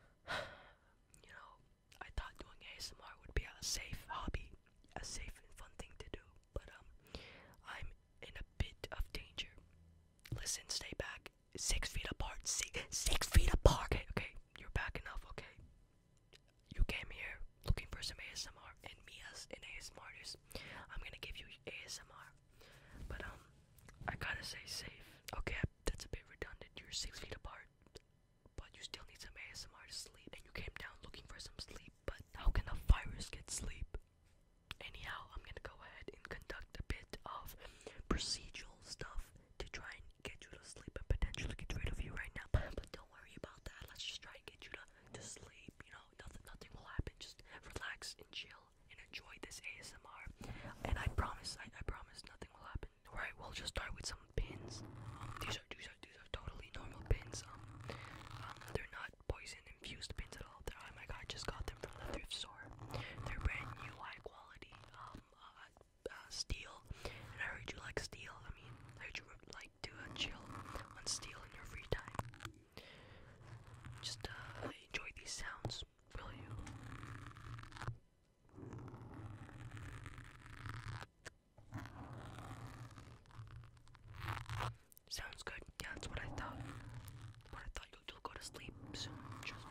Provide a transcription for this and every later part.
you know, I thought doing ASMR would be a safe hobby, a safe and fun thing to do, but um, I'm in a bit of danger. Listen, stay back. Six feet apart. Six, feet apart. Okay, okay, you're back enough. Okay, you came here looking for some ASMR, and me as an ASMR artist, I'm gonna give you ASMR. But um, I gotta say safe. Okay, that's a bit redundant. You're six feet apart, but you still need some ASMR to sleep. And you came down looking for some sleep, but how can a virus get sleep? Anyhow, I'm gonna go ahead and conduct a bit of procedural stuff to try and get you to sleep and potentially get rid of you right now. But don't worry about that. Let's just try and get you to, to sleep. You know, nothing, nothing will happen. Just relax and chill and enjoy this ASMR. And I promise, I, promise nothing will happen. Alright, we'll just start with some pins. These are these are these are totally normal pins. Um, um they're not poison infused pins at all. They're, oh my god, I just got them from the thrift store. They're brand new, high quality um uh, uh, steel. And I heard you like steel. I mean, I heard you like do a chill on steel in your free time. Just uh, enjoy these sounds, will you? Sounds good. Yeah, that's what I thought. But I thought you would you go to sleep soon. Trust me.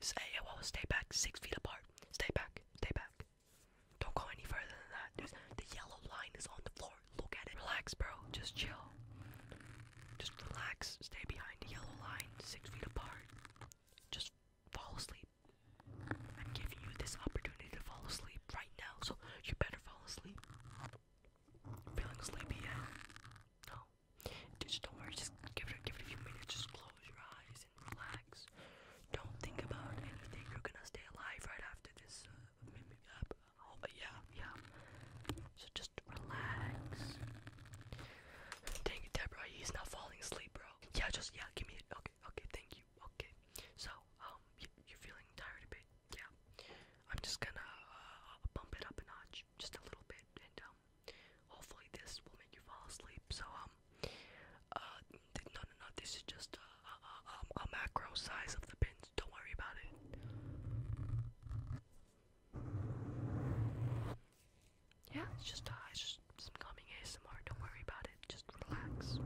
Say, well, stay back six feet apart. Stay back, stay back. Don't go any further than that. There's, the yellow line is on the floor. Look at it. Relax, bro. Just chill. Just relax. Stay behind the yellow line, six feet apart. Just fall asleep. I'm giving you this opportunity to fall asleep right now, so you better fall asleep. Feeling sleepy yet? No. just don't worry. Just give it, give it a few minutes. Just close your eyes and relax. Don't think about anything. You're gonna stay alive right after this. Uh, oh, yeah, yeah. So just relax. Dang it, Deborah. He's not falling asleep, bro. Yeah, just yeah. Give me it. Okay, okay. Thank you. Okay. So, um, you're feeling tired a bit yeah, I'm just gonna uh, bump it up a notch just a little bit, and um, hopefully this will make you fall asleep. So um, uh, no, no, no, this is just a, a, um, a macro size of the pins. Don't worry about it. Yeah, it's just, uh, it's just some calming ASMR. Don't worry about it. Just relax.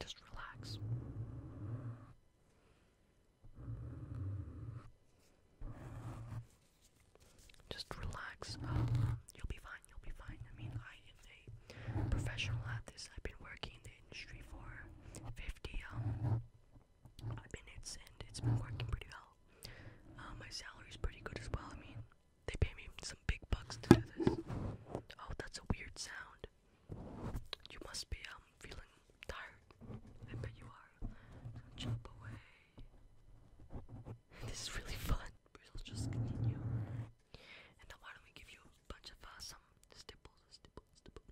Just relax. Just relax. you'll be fine. You'll be fine. I mean, I am a professional at this. I've been working in the industry for 50, um, minutes, and it's been working pretty well. Uh, my salary's pretty good as well. I mean, they pay me some big bucks to do this. Oh, that's a weird sound. You must be um feeling tired. I bet you are. Jump away. This is really fun. We'll just continue. And now why don't we give you a bunch of uh, some stipple, stipple, stipple,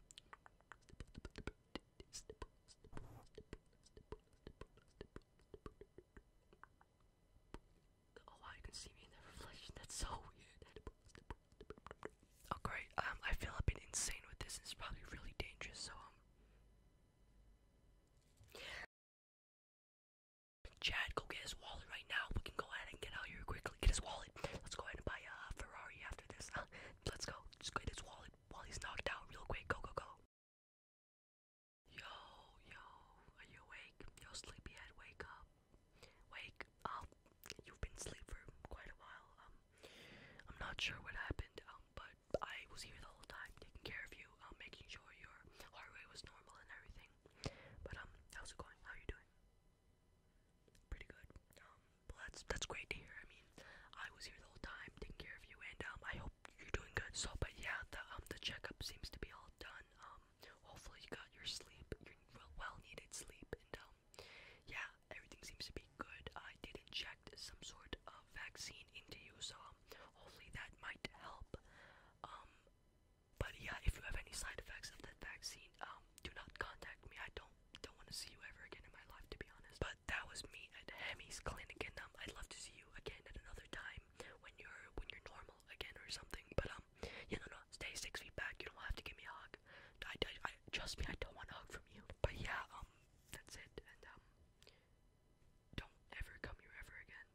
Oh wow, can see me in that reflection. That's so weird. Oh great. Um, I feel a bit insane with this. It's probably really dangerous. So um, Chad, go get his wallet right now. We can go ahead and get out here quickly. Get his wallet wallet. Let's go ahead and buy a Ferrari after this. Huh? Let's go. Just get his wallet while he's knocked out real quick. Go, go, go. Yo, yo, are you awake? Yo, sleepyhead, wake up. Wake up. You've been asleep for quite a while. Um, I'm not sure what happened, um, but I was here the whole time taking care of you, um, making sure your heart rate was normal and everything. But, um, how's it going? How are you doing? pretty good. Um, that's that's great to hear. I mean, I was here the whole time taking care of you, and um, I hope you're doing good. So, but yeah, the um the checkup seems to be all done. Um, hopefully you got your sleep, your well needed sleep, and um, yeah, everything seems to be good. I did inject some sort of vaccine into you, so um, hopefully that might help. Um, but yeah, if you have any side effects of that vaccine, um, do not contact me. I don't don't want to see you ever again in my life, to be honest. But that was me at Hemi's clinic, and um, I'd love to see you again at another time when you're when you're normal again or something. But um, yeah, no, no, stay six feet back. You don't have to give me a hug. I, I, trust me, I don't want a hug from you. But yeah, um, that's it, and um, don't ever come here ever again.